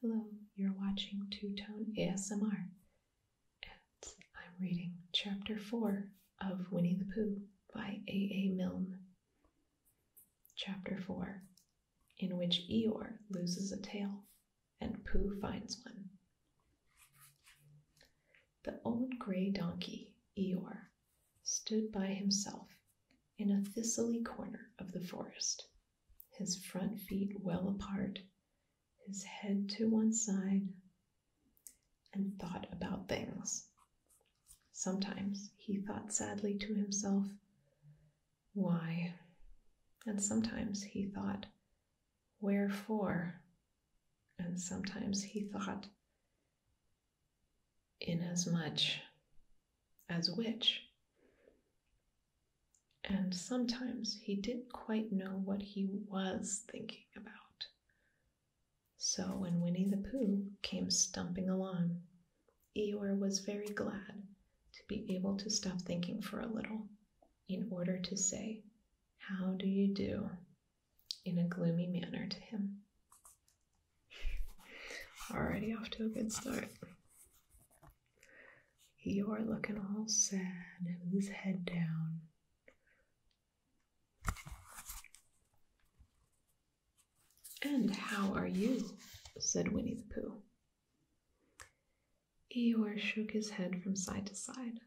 Hello, you're watching Two Tone ASMR, and I'm reading Chapter 4 of Winnie the Pooh by A.A. A. Milne. Chapter 4 In which Eeyore loses a tail and Pooh finds one. The old gray donkey, Eeyore, stood by himself in a thistly corner of the forest his front feet well apart, his head to one side, and thought about things. Sometimes he thought sadly to himself, Why? And sometimes he thought, Wherefore? And sometimes he thought, Inasmuch as witch. And sometimes he didn't quite know what he was thinking about. So when Winnie the Pooh came stumping along, Eeyore was very glad to be able to stop thinking for a little in order to say, How do you do? in a gloomy manner to him. Already off to a good start. You're looking all sad and with his head down. And how are you? said Winnie the Pooh. Eeyore shook his head from side to side.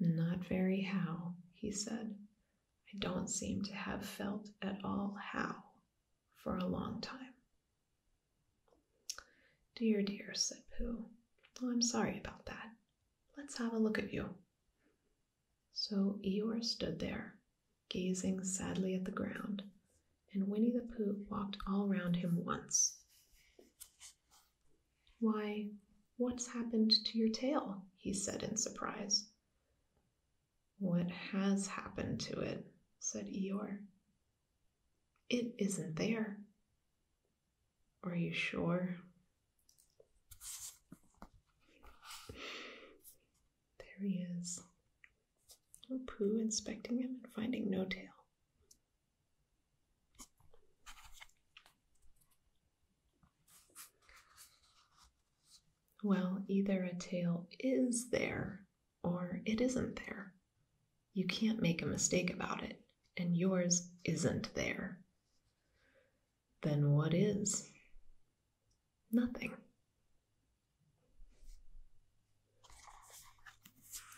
Not very how, he said. I don't seem to have felt at all how for a long time. Dear, dear, said Pooh. Oh, I'm sorry about that. Let's have a look at you. So Eeyore stood there, gazing sadly at the ground, and Winnie the Pooh walked all round him once. Why, what's happened to your tail? he said in surprise. What has happened to it? said Eeyore. It isn't there. Are you sure? There he is. Oh, Pooh inspecting him and finding no tail. Well, either a tail is there or it isn't there. You can't make a mistake about it, and yours isn't there. Then what is? Nothing.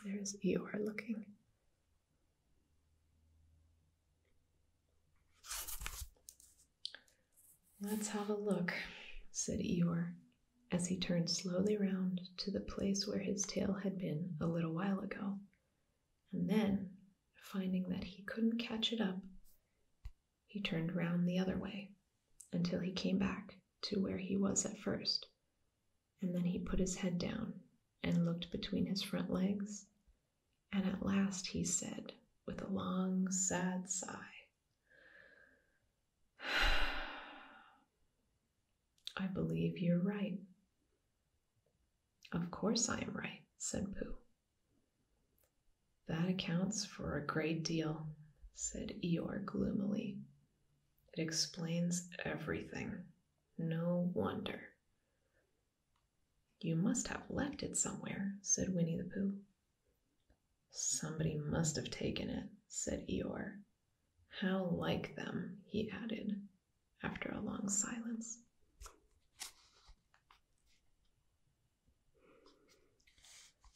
There's Eeyore looking. Let's have a look, said Eeyore, as he turned slowly round to the place where his tail had been a little while ago, and then, finding that he couldn't catch it up, he turned round the other way until he came back to where he was at first, and then he put his head down and looked between his front legs, and at last he said, with a long, sad sigh, I believe you're right. Of course I am right, said Pooh. That accounts for a great deal, said Eeyore gloomily. It explains everything. No wonder. You must have left it somewhere, said Winnie the Pooh. Somebody must have taken it, said Eeyore. How like them, he added, after a long silence.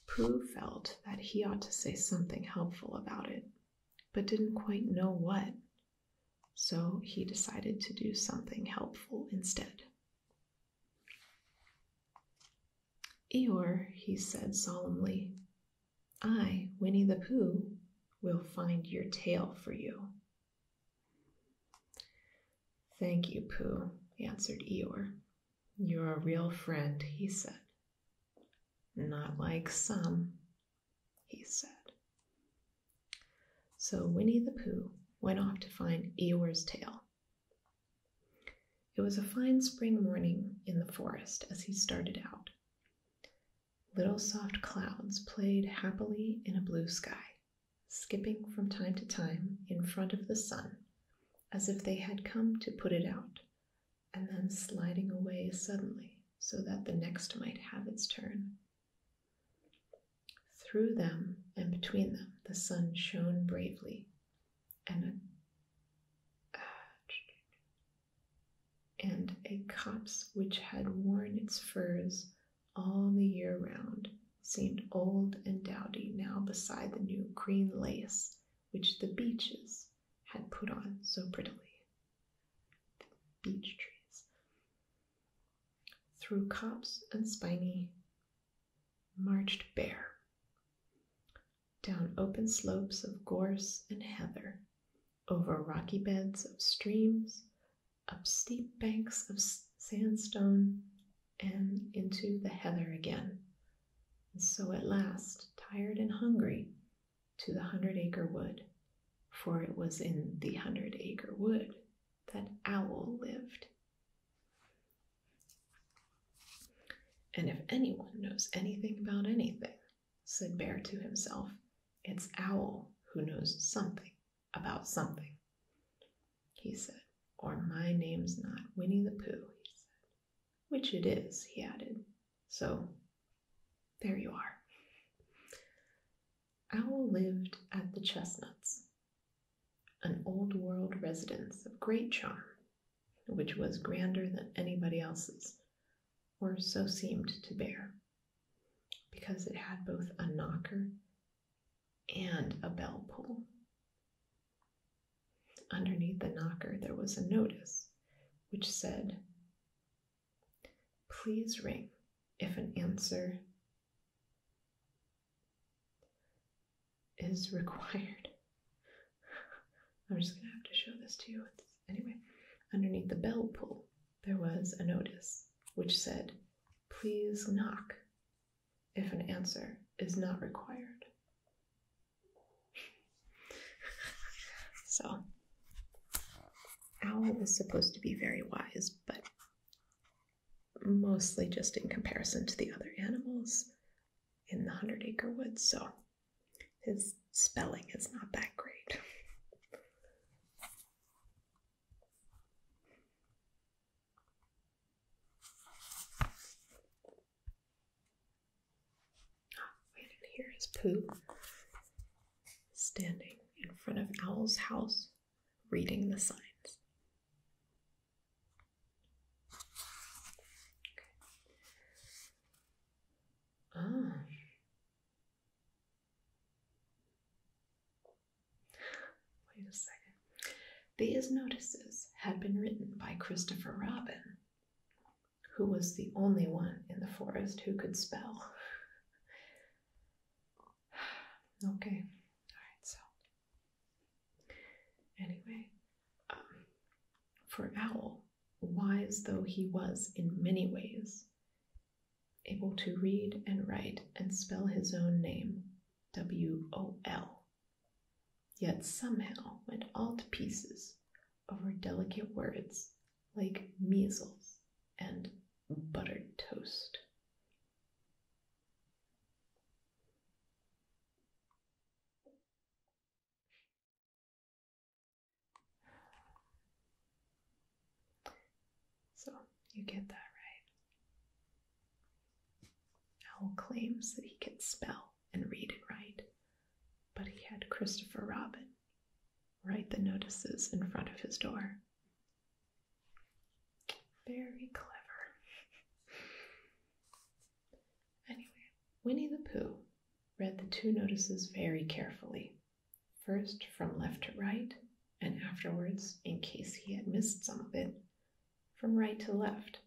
Prue felt that he ought to say something helpful about it, but didn't quite know what. So he decided to do something helpful instead. Eeyore, he said solemnly, I, Winnie the Pooh, will find your tail for you. Thank you, Pooh, answered Eeyore. You're a real friend, he said. Not like some, he said. So Winnie the Pooh went off to find Eeyore's tail. It was a fine spring morning in the forest as he started out. Little soft clouds played happily in a blue sky, skipping from time to time in front of the sun as if they had come to put it out, and then sliding away suddenly so that the next might have its turn. Through them and between them the sun shone bravely, and a, and a copse which had worn its furs all the year round seemed old and dowdy now beside the new green lace which the beeches had put on so prettily. beech trees. Through copse and spiny marched bare down open slopes of gorse and heather, over rocky beds of streams, up steep banks of sandstone, and into the heather again. And so at last, tired and hungry, to the hundred acre wood, for it was in the hundred acre wood that Owl lived, and if anyone knows anything about anything, said Bear to himself, it's Owl who knows something about something, he said, or my name's not Winnie the Pooh, he said. Which it is, he added. So there you are. Owl lived at the chestnuts an old world residence of great charm, which was grander than anybody else's, or so seemed to bear, because it had both a knocker and a bell pull. Underneath the knocker, there was a notice which said, Please ring if an answer is required. I'm just gonna have to show this to you. anyway, underneath the bell pull, there was a notice which said, Please knock if an answer is not required. so, Owl was supposed to be very wise, but mostly just in comparison to the other animals in the Hundred Acre Woods, so his spelling is not that great. I didn't poo. Standing in front of Owl's house, reading the signs. Wait a second. These notices had been written by Christopher Robin, who was the only one in the forest who could spell. Okay, all right, so Anyway, um, for Owl, wise though he was in many ways, able to read and write and spell his own name, W O L, yet somehow went all to pieces over delicate words like measles and buttered toast. So you get that right. Owl claims that he can spell and read and write, but he had Christopher Robin write the notices in front of his door very clever. anyway, Winnie the Pooh read the two notices very carefully, first from left to right, and afterwards, in case he had missed some of it, from right to left.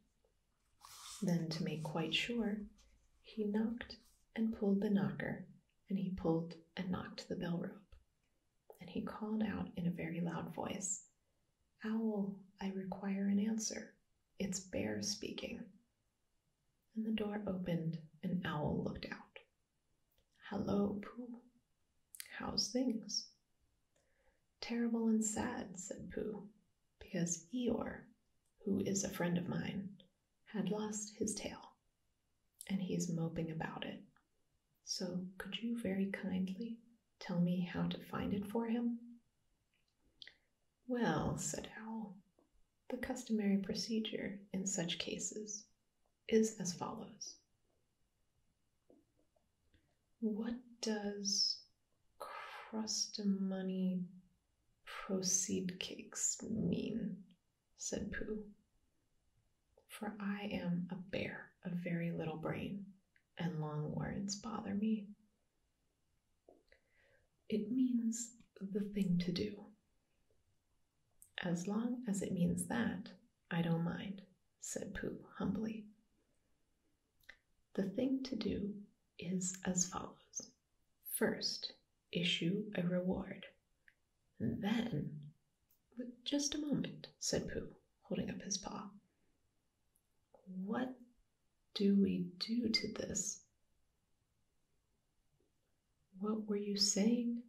Then, to make quite sure, he knocked and pulled the knocker, and he pulled and knocked the bell rope, and he called out in a very loud voice, Owl, I require an answer. It's Bear speaking. And the door opened, and Owl looked out. Hello, Pooh. How's things? Terrible and sad, said Pooh, because Eeyore, who is a friend of mine, had lost his tail, and he's moping about it so, could you very kindly tell me how to find it for him? Well, said Owl, the customary procedure in such cases is as follows What does crustamony proceed cakes mean? said Pooh. For I am a bear of very little brain, and long words bother me. It means the thing to do. As long as it means that, I don't mind, said Pooh humbly. The thing to do is as follows First, issue a reward, then just a moment, said Pooh, holding up his paw. What do we do to this? What were you saying?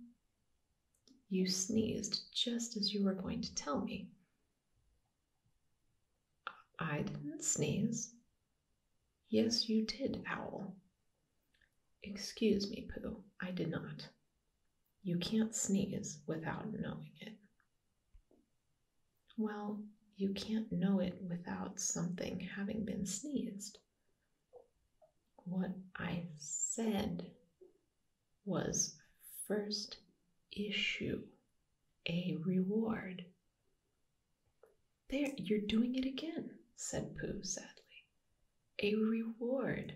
You sneezed just as you were going to tell me. I didn't sneeze. Yes, you did, Owl. Excuse me, Pooh, I did not. You can't sneeze without knowing it. Well, you can't know it without something having been sneezed. What I said was first issue a reward. There, you're doing it again, said Pooh sadly. A reward,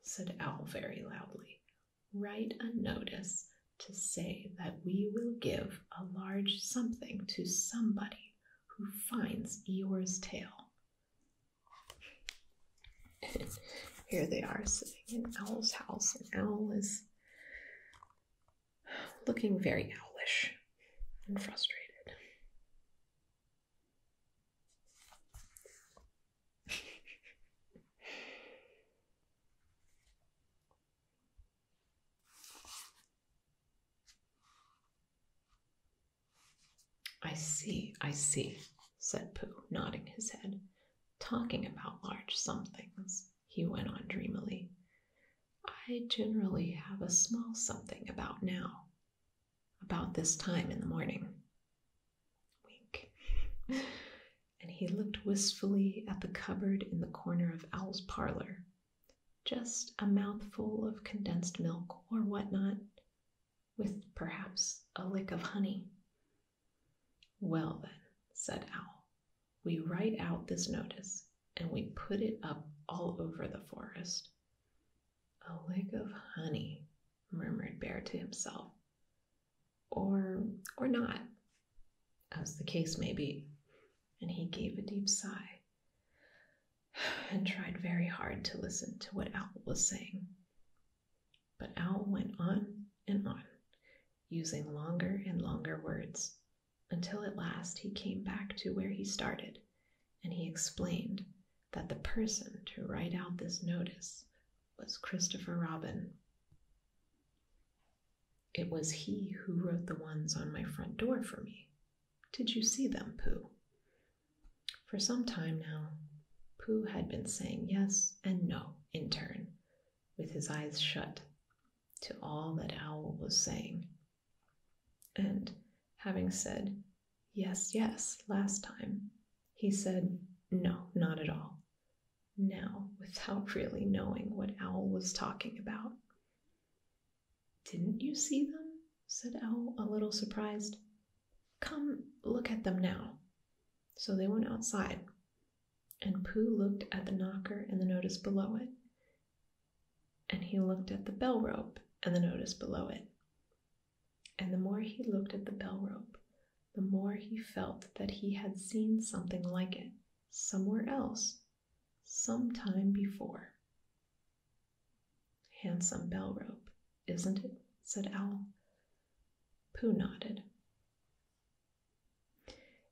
said Owl very loudly write a notice to say that we will give a large something to somebody who finds Eeyore's tail. Here they are sitting in Owl's house, and Owl is looking very owlish and frustrated. I see, I see, said Pooh, nodding his head. Talking about large somethings, he went on dreamily. I generally have a small something about now, about this time in the morning. Wink. and he looked wistfully at the cupboard in the corner of Owl's parlor. Just a mouthful of condensed milk or whatnot, with perhaps a lick of honey. Well, then, said Owl, we write out this notice and we put it up all over the forest. A lick of honey, murmured Bear to himself or or not, as the case may be. And he gave a deep sigh and tried very hard to listen to what Owl was saying. But Owl went on and on, using longer and longer words, until at last he came back to where he started, and he explained that the person to write out this notice was Christopher Robin. It was he who wrote the ones on my front door for me. Did you see them, Pooh? For some time now, Pooh had been saying yes and no in turn, with his eyes shut, to all that Owl was saying. And having said yes, yes, last time, he said, no, not at all. Now, without really knowing what Owl was talking about. Didn't you see them? said Owl, a little surprised. Come look at them now. So they went outside, and Pooh looked at the knocker and the notice below it, and he looked at the bell rope and the notice below it, and the more he looked at the bell rope, the more he felt that he had seen something like it somewhere else, some time before. Handsome bell rope, isn't it? said Owl. Pooh nodded.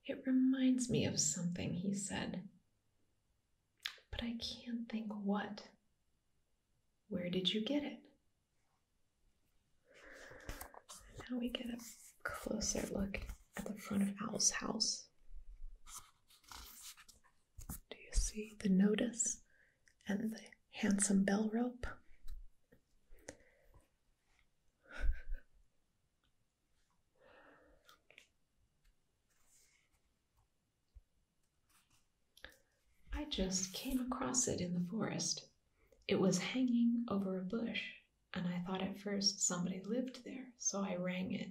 It reminds me of something, he said. But I can't think what. Where did you get it? Now we get a closer look at the front of Owl's house. Do you see the notice and the handsome bell rope? I just came across it in the forest. It was hanging over a bush, and I thought at first somebody lived there, so I rang it,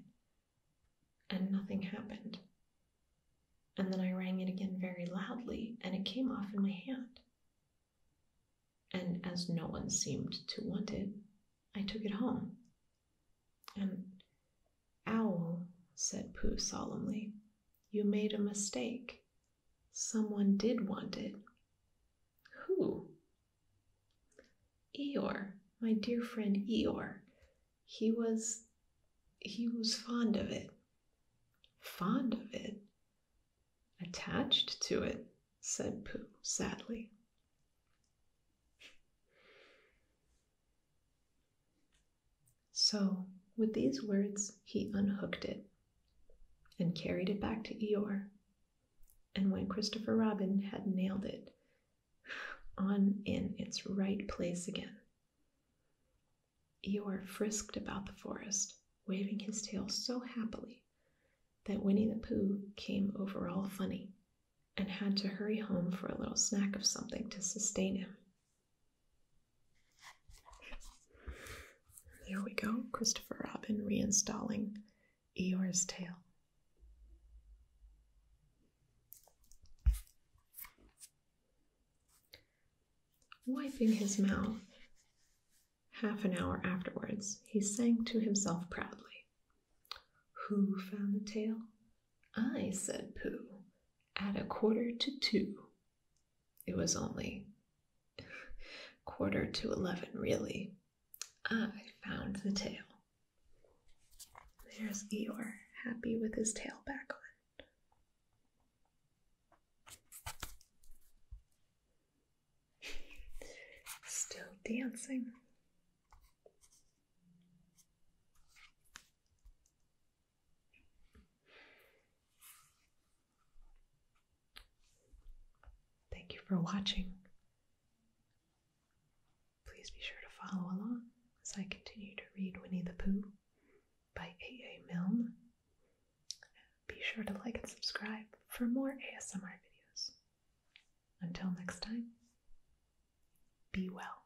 and nothing happened. And then I rang it again very loudly, and it came off in my hand. And as no one seemed to want it, I took it home. And Owl, said Pooh solemnly, you made a mistake. Someone did want it. Who? Eeyore, my dear friend Eeyore. He was he was fond of it. Fond of it? Attached to it, said Pooh sadly. So, with these words, he unhooked it and carried it back to Eeyore. And when Christopher Robin had nailed it on in its right place again, Eeyore frisked about the forest, waving his tail so happily that Winnie the Pooh came over all funny and had to hurry home for a little snack of something to sustain him. There we go, Christopher Robin reinstalling Eeyore's tail. Wiping his mouth half an hour afterwards, he sang to himself proudly. Who found the tail? I, said Pooh, at a quarter to two. It was only quarter to eleven, really. I found the tail. There's Eeyore, happy with his tail back on. Still dancing. Thank you for watching. Please be sure to follow along as I continue to read Winnie the Pooh by A.A. Milne. Be sure to like and subscribe for more ASMR videos. Until next time, be well.